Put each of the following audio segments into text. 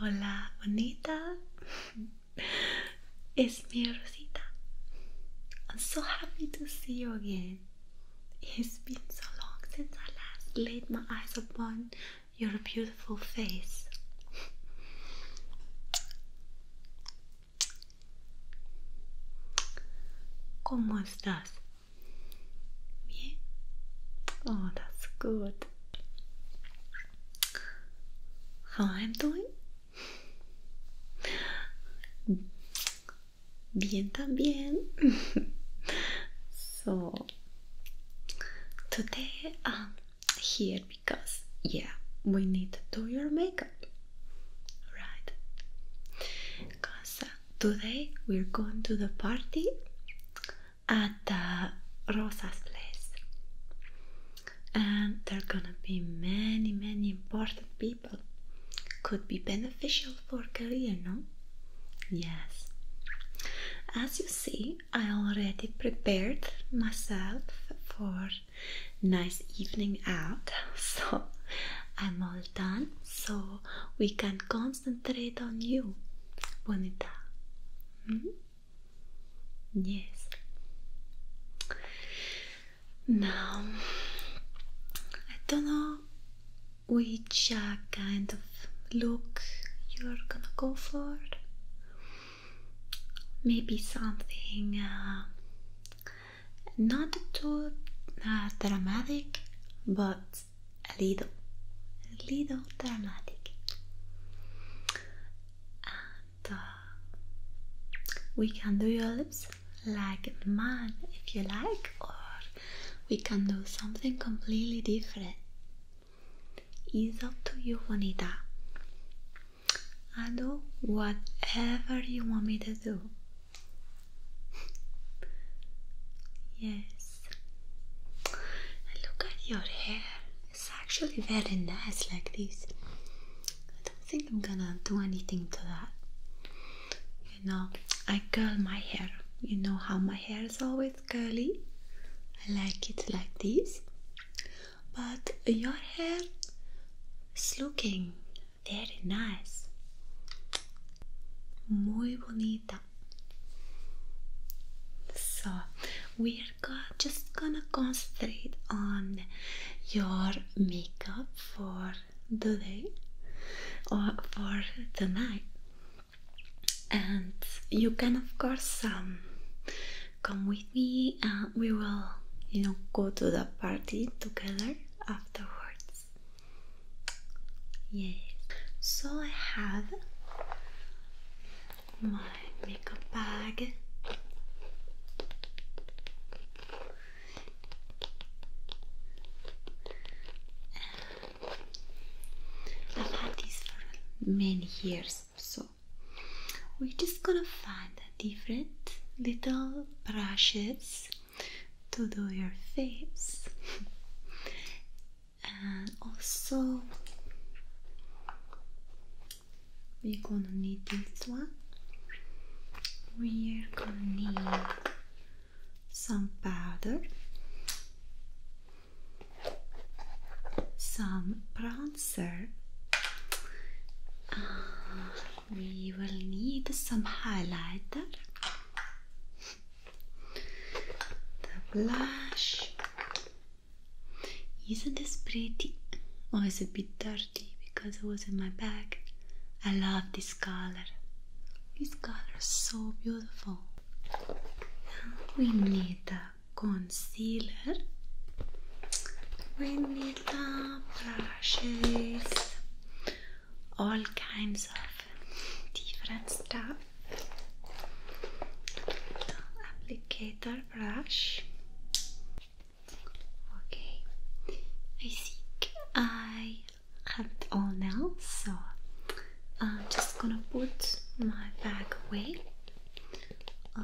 Hola, bonita. It's me, Rosita. I'm so happy to see you again. It's been so long since I last laid my eyes upon your beautiful face. ¿Cómo estás? Bien. Oh, that's good. How I'm doing? Bien también. so today I'm here because yeah we need to do your makeup right because today we're going to the party at rosa's place and there are gonna be many many important people could be beneficial for career no yes as you see i already prepared myself for nice evening out. So I'm all done, so we can concentrate on you, Bonita. Hmm? Yes. Now, I don't know which uh, kind of look you're gonna go for maybe something uh, not too uh, dramatic, but a little, little dramatic. Uh, we can do your lips like mine if you like, or we can do something completely different. It's up to you, Juanita. I do whatever you want me to do. yes. And look at your hair. It's actually very nice like this. I don't think I'm gonna do anything to that. You know, I curl my hair. You know how my hair is always curly? I like it like this but your hair is looking very nice. Muy bonita. So, we're just gonna concentrate on your makeup for the day or for the night, and you can, of course, um, come with me and we will you know go to the party together afterwards yes so i have my makeup bag I've had this for many years so we're just gonna find different little brushes to do your face and also we're gonna need this one we're gonna need some powder some brown answer. Ah, we will need some highlighter, the blush. Isn't this pretty? Oh, it's a bit dirty because it was in my bag. I love this color. This color is so beautiful. We need that concealer we need the brushes all kinds of different stuff applicator brush okay I think I have it all now so I'm just gonna put my bag away uh,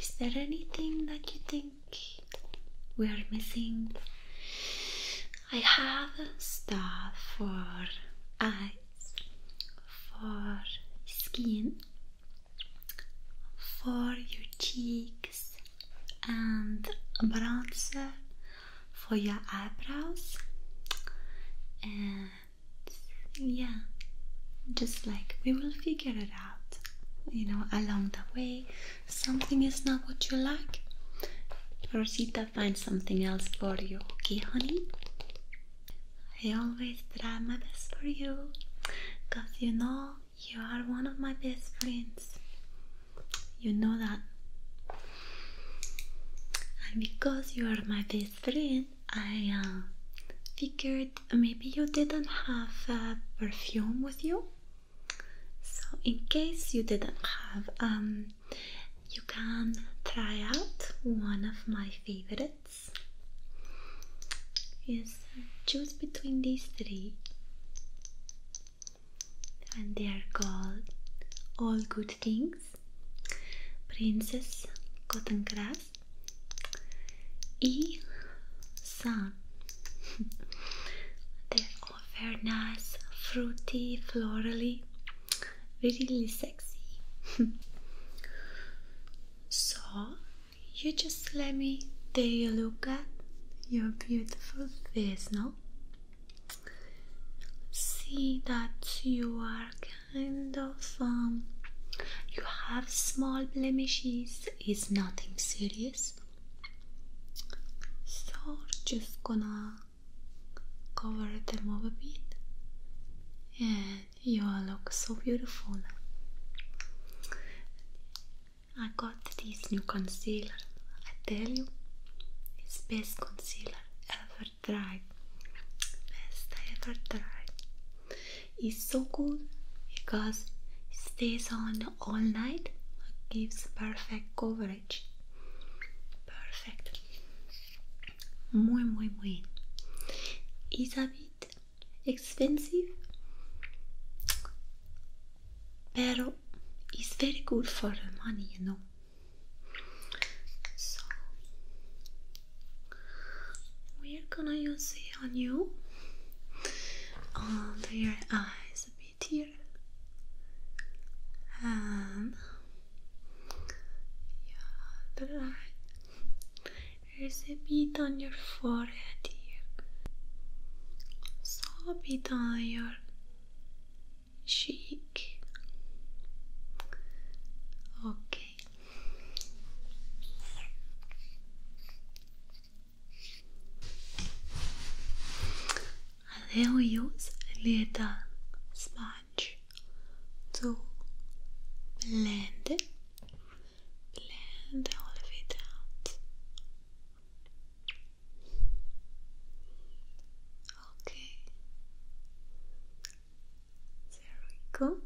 is there anything that you think we are missing? I have stuff for eyes, for skin, for your cheeks, and bronzer for your eyebrows, and yeah, just like we will figure it out you know along the way something is not what you like rosita finds something else for you okay honey i always try my best for you because you know you are one of my best friends you know that and because you are my best friend I uh, figured maybe you didn't have perfume with you. So, in case you didn't have, um, you can try out one of my favorites. Yes, choose between these three, and they are called All Good Things, Princess Cotton Grass, E sun. they are very nice, fruity, florally, really sexy. so you just let me take a look at your beautiful face now. See that you are kind of. Um, you have small blemishes, it's nothing serious. So, just gonna cover them up a bit, and you all look so beautiful. I got this new concealer. I tell you, it's best concealer ever tried. Best I ever tried. It's so good because it stays on all night gives perfect coverage perfect muy muy muy is a bit expensive but it's very good for the money you know so we're gonna use it on you under your eyes a bit here and yeah, the There's a bit on your forehead here, so a bit on your cheek. Okay. I will use a little sponge to blend it, blend all of it out. Okay, there we go.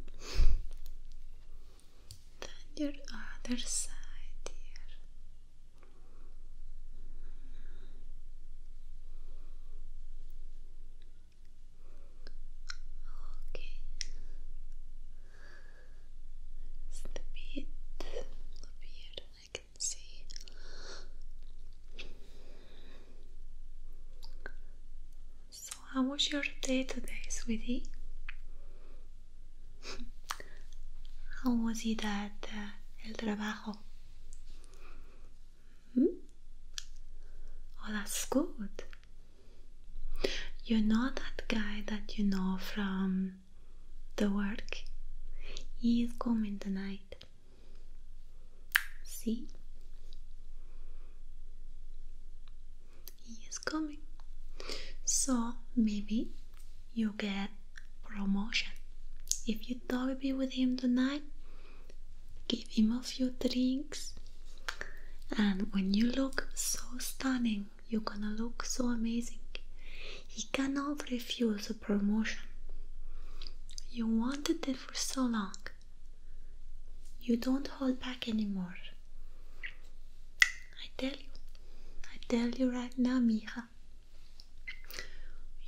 Then your other side here. Okay. Just a bit up I can see. So, how was your day today, sweetie? how was it at uh, el trabajo? Hmm? Oh, that's good. You know that guy that you know from the work? He is coming tonight. See? he is coming. So maybe you get promotion. If you do be with him tonight, give him a few drinks. And when you look so stunning, you're gonna look so amazing. He cannot refuse a promotion. You wanted it for so long. You don't hold back anymore. I tell you, I tell you right now, Mija.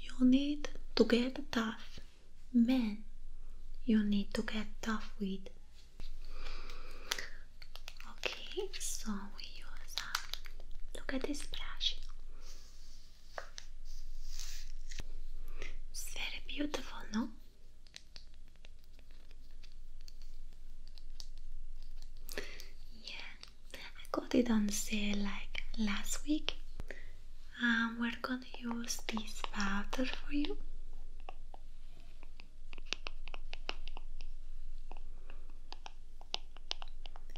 You need to get tough. Man, you need to get tough with. Okay, so we use. Uh, look at this brush. It's very beautiful, no? Yeah, I got it on sale like last week. Um, we're gonna use this powder for you.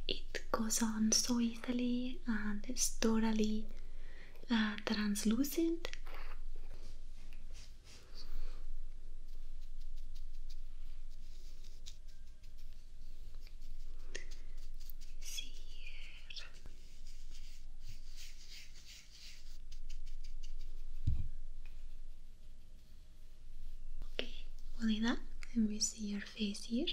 It goes on so easily and it's totally uh, translucent. Cierra. Okay, only that. Let me see your face here?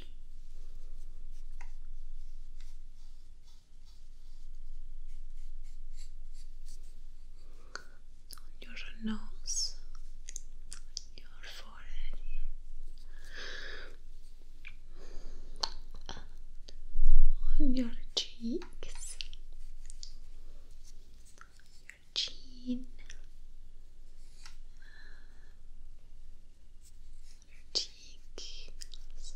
on your nose, on your forehead, on your cheeks, your chin, your cheek, so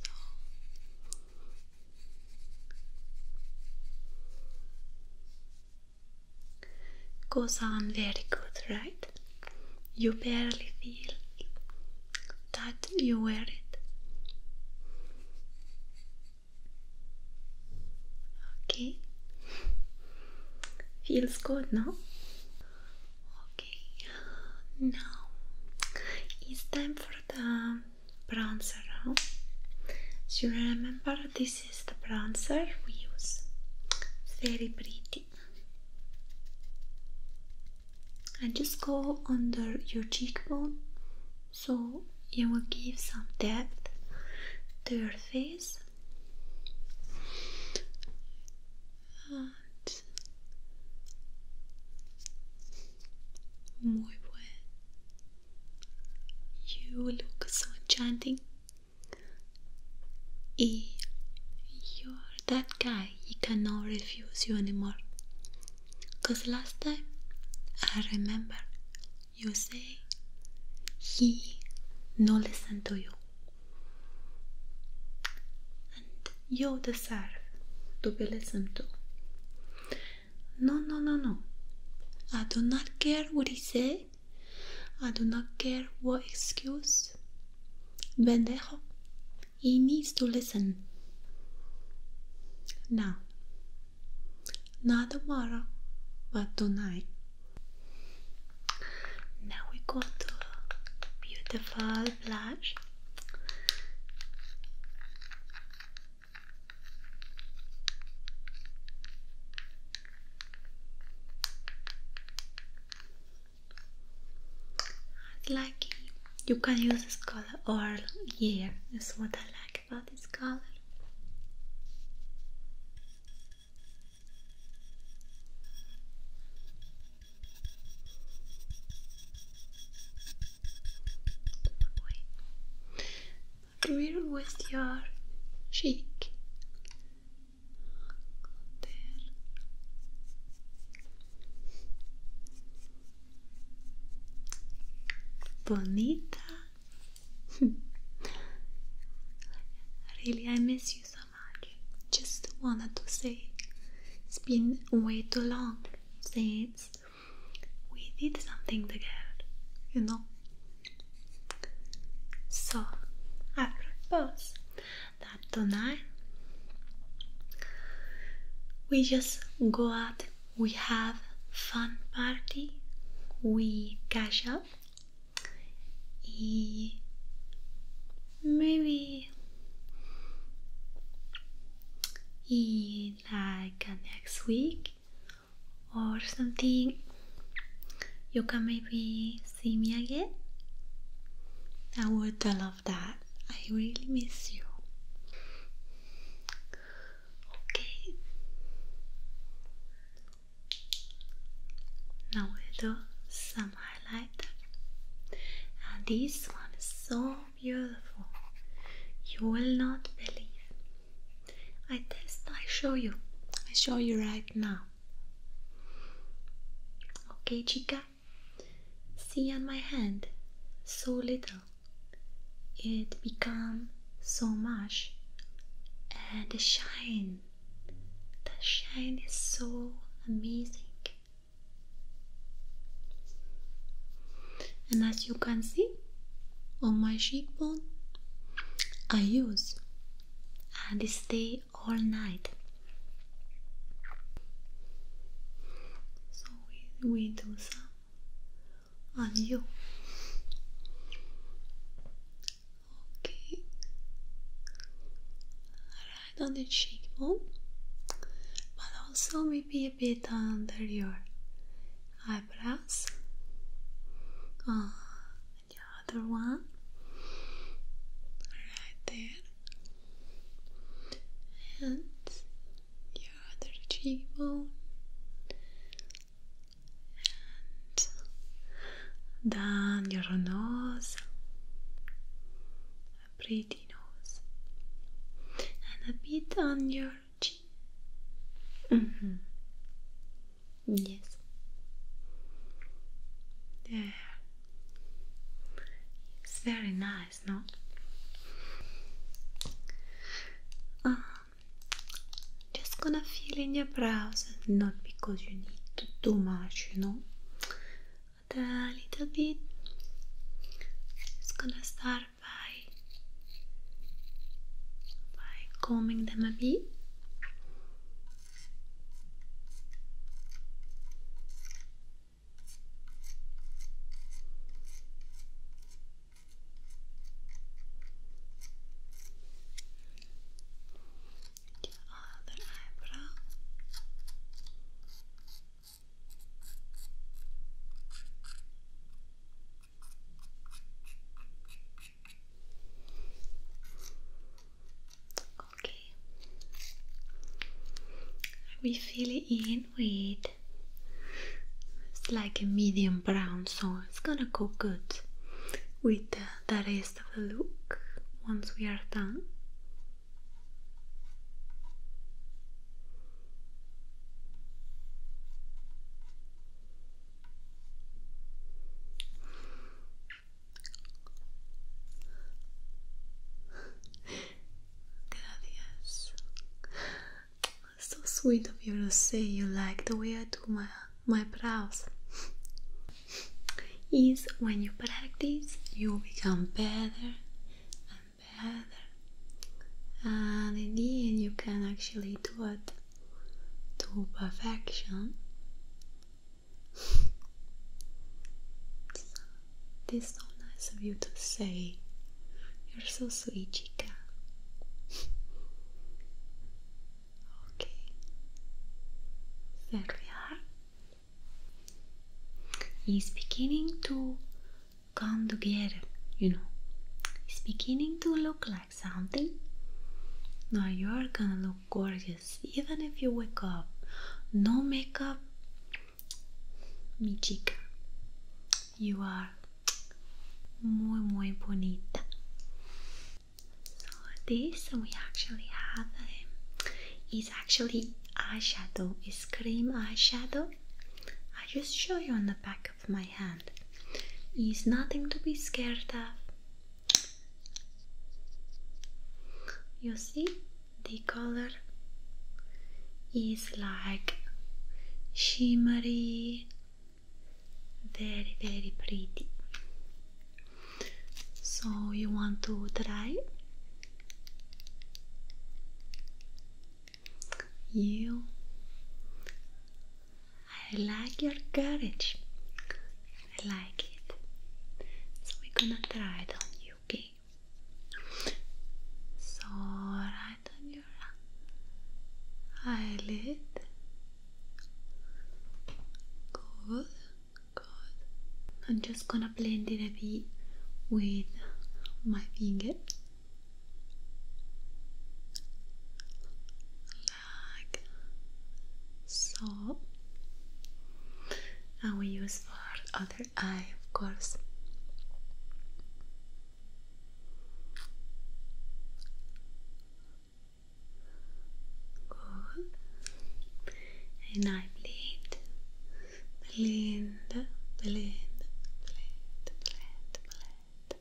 Goes on very good, right? You barely feel that you wear it. Okay, feels good, no? Okay, now it's time for the bronzer on. So remember, this is the bronzer we use. very pretty. And just go under your cheekbone so it will give some depth to your face. You look so enchanting. You're that guy, he can now refuse you anymore. Cause last time, I remember, you say he no listen to you. And you deserve to be listened to. No, no, no, no. I do not care what he says. I do not care what excuse. Bendejo. He needs to listen. Now. Not tomorrow, but tonight. Now we go to beautiful blush. I like it. You can use this color all year. That's what I like about this color. Drill with your cheek. Bonita. really, I miss you so much. Just wanted to say it's been way too long since we did something together, you know. So I propose that tonight we just go out, we have fun party, we catch up, e maybe. E like next week or something you can maybe see me again I would love that I really miss you okay now we do some highlight and this one is so beautiful. You will not believe. I test, I show you. I show you right now. Okay, chica? See on my hand, so little. It become so much. And the shine. The shine is so amazing and as you can see on my cheekbone I use and stay all night so we, do some on you okay right on the cheekbone also maybe a bit under your eyebrows. Uh, the other one right there, and the other cheekbone, and down your nose a pretty nose, and a bit on your chin. Mm -hmm. Yes. There. It's very nice, no? Um, just gonna feel in your brows, not because you need to do much, you know, but a little bit. It's gonna start by by combing them a bit. The other eyebrow. Okay, we fill it in with it's like a medium brown, so it's gonna go good with the rest of the look once we are done. Gracias. So sweet of you to say you like the way I do my my brows. Is when you practice, you become better better and in you can actually do it to perfection so, this is so nice of you to say you're so sweet chica okay there we beginning to come together, you know. It's beginning to look like something. Now you're gonna look gorgeous even if you wake up. No makeup, mi chica. You are muy, muy bonita. So, this we actually have um, is actually eyeshadow, it's cream eyeshadow I just show you on the back of my hand. It's nothing to be scared of. You see, the color is like shimmery, very, very pretty. So, you want to try? You. I like your courage. I like it. So we're gonna try it on you, okay? So right on your eyelid. Good, good. I'm just gonna gonna blend it a bit with my finger so and we use for other eye of course and I bleed Belinda, Belinda, Belinda, Belinda, Belinda.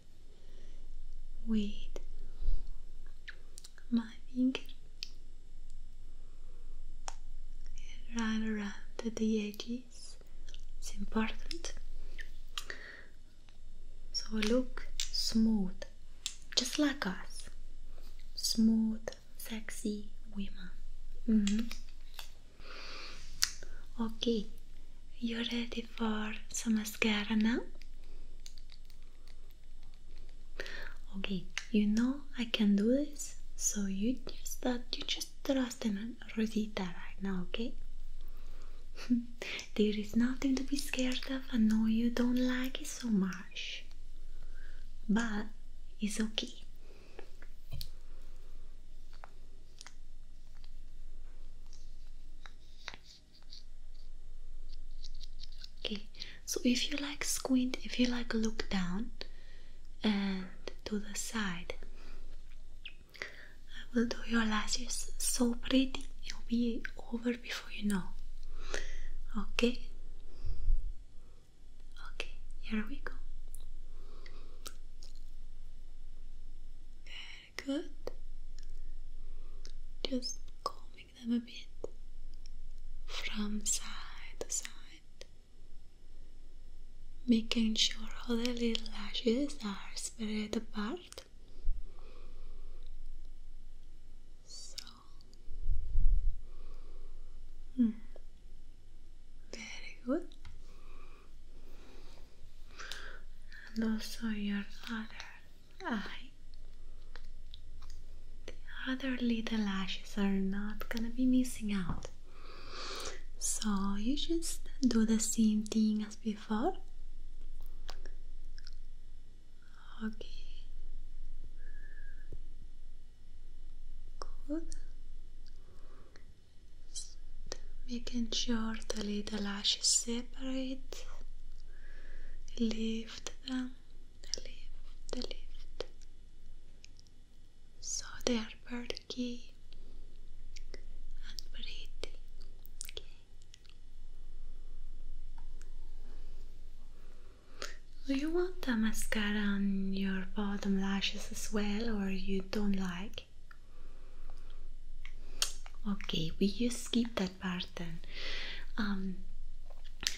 With my finger right around the edges, it's important. So look smooth, just like us, smooth, sexy women. Mm -hmm. Okay, you're ready for some mascara now? Okay, you know I can do this, so you just that you just trust in Rosita right now, okay? there is nothing to be scared of. I know you don't like it so much, but it's okay. Okay, so if you like squint, if you like look down and to the side, I will do your lashes so pretty, it'll be over before you know. Okay, Okay, here we go. Very good. Just combing them a bit from side to side, making sure all the little lashes are spread apart. So, mm, very good. And also your other eye. The other little lashes are not gonna be missing out. So you just do the same thing as before. Okay. Good. making sure the little lashes separate. Lift them, lift, lift. So they are perky and pretty. Okay. Do you want the mascara on your bottom lashes as well or you don't like? Okay, we just skip that part then. Um,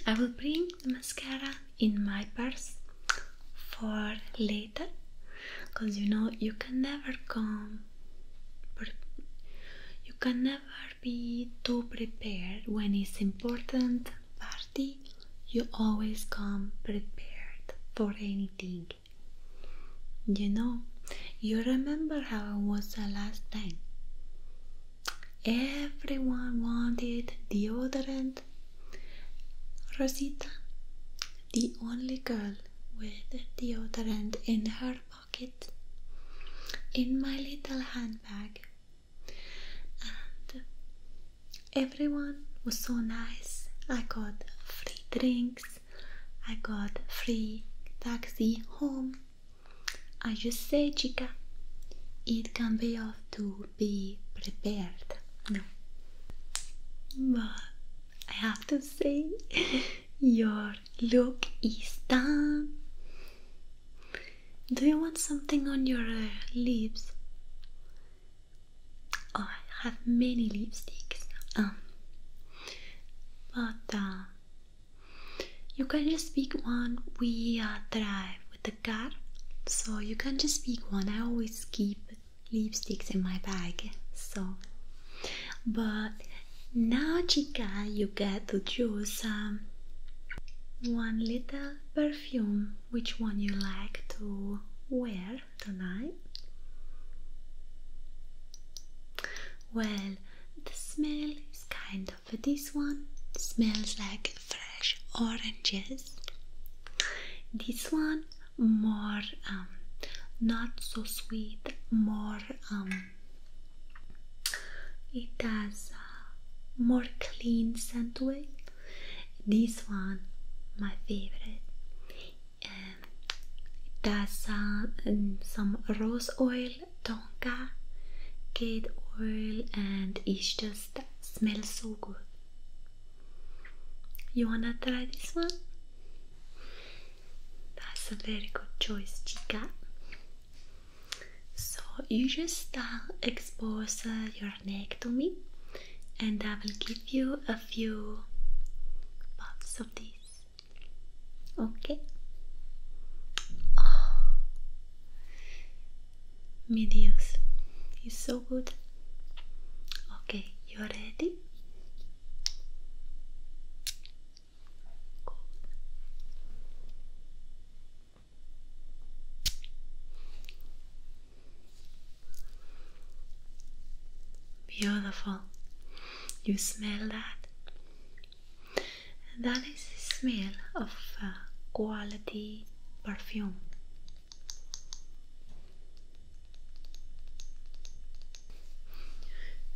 I will bring the mascara in my purse for later because you know you can never come you can never be too prepared when it's important party, you always come prepared for anything. You know, you remember how it was the last time. Everyone wanted deodorant. Rosita, the only girl with deodorant in her pocket, in my little handbag. And Everyone was so nice. I got free drinks, I got free taxi home. I just say, chica, it can be off to be prepared. No. But I have to say, your look is done. Do you want something on your uh, lips? I have many lipsticks, um, but uh, you can just pick one. We drive with the car, so you can just pick one. I always keep lipsticks in my bag, so but now, chica, you get to choose some. Um, one little per which one you like to wear tonight? Well, the smell is kind of this one. smells like fresh oranges. This one more um, not so sweet, more um, it has uh, more clean scent way. This one, my favorite. Um, it has uh, um, some rose oil, tonka, kid oil, and it just smells so good. You wanna try this one? That's a very good choice, chica. So you just uh, expose uh, your to me, and I will give you a few puffs of this. Okay. Oh, mi Dios, it's so good. Okay, you are ready? Beautiful. You smell that? That is the smell of uh, quality perfume.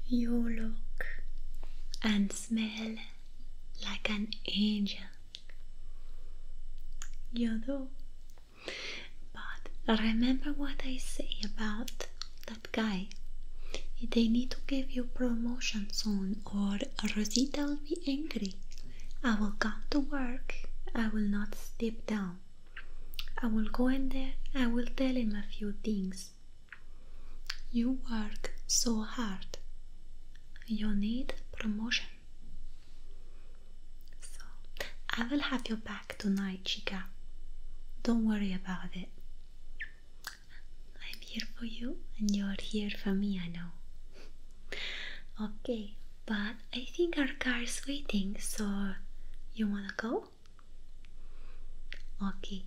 You look and smell like an angel. You do. But remember what I say about that guy. They need to give you promotion soon, or Rosita will be angry. I will come to work. I will not step down. I will go in there. I will tell him a few things. You work so hard. You need promotion. So, I will have your back tonight, Chica. Don't worry about it. I'm here for you, and you're here for me, I know. okay, but I think our car is waiting, so you wanna go? Okay,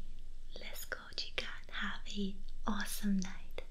let's go, Chica, have an awesome night.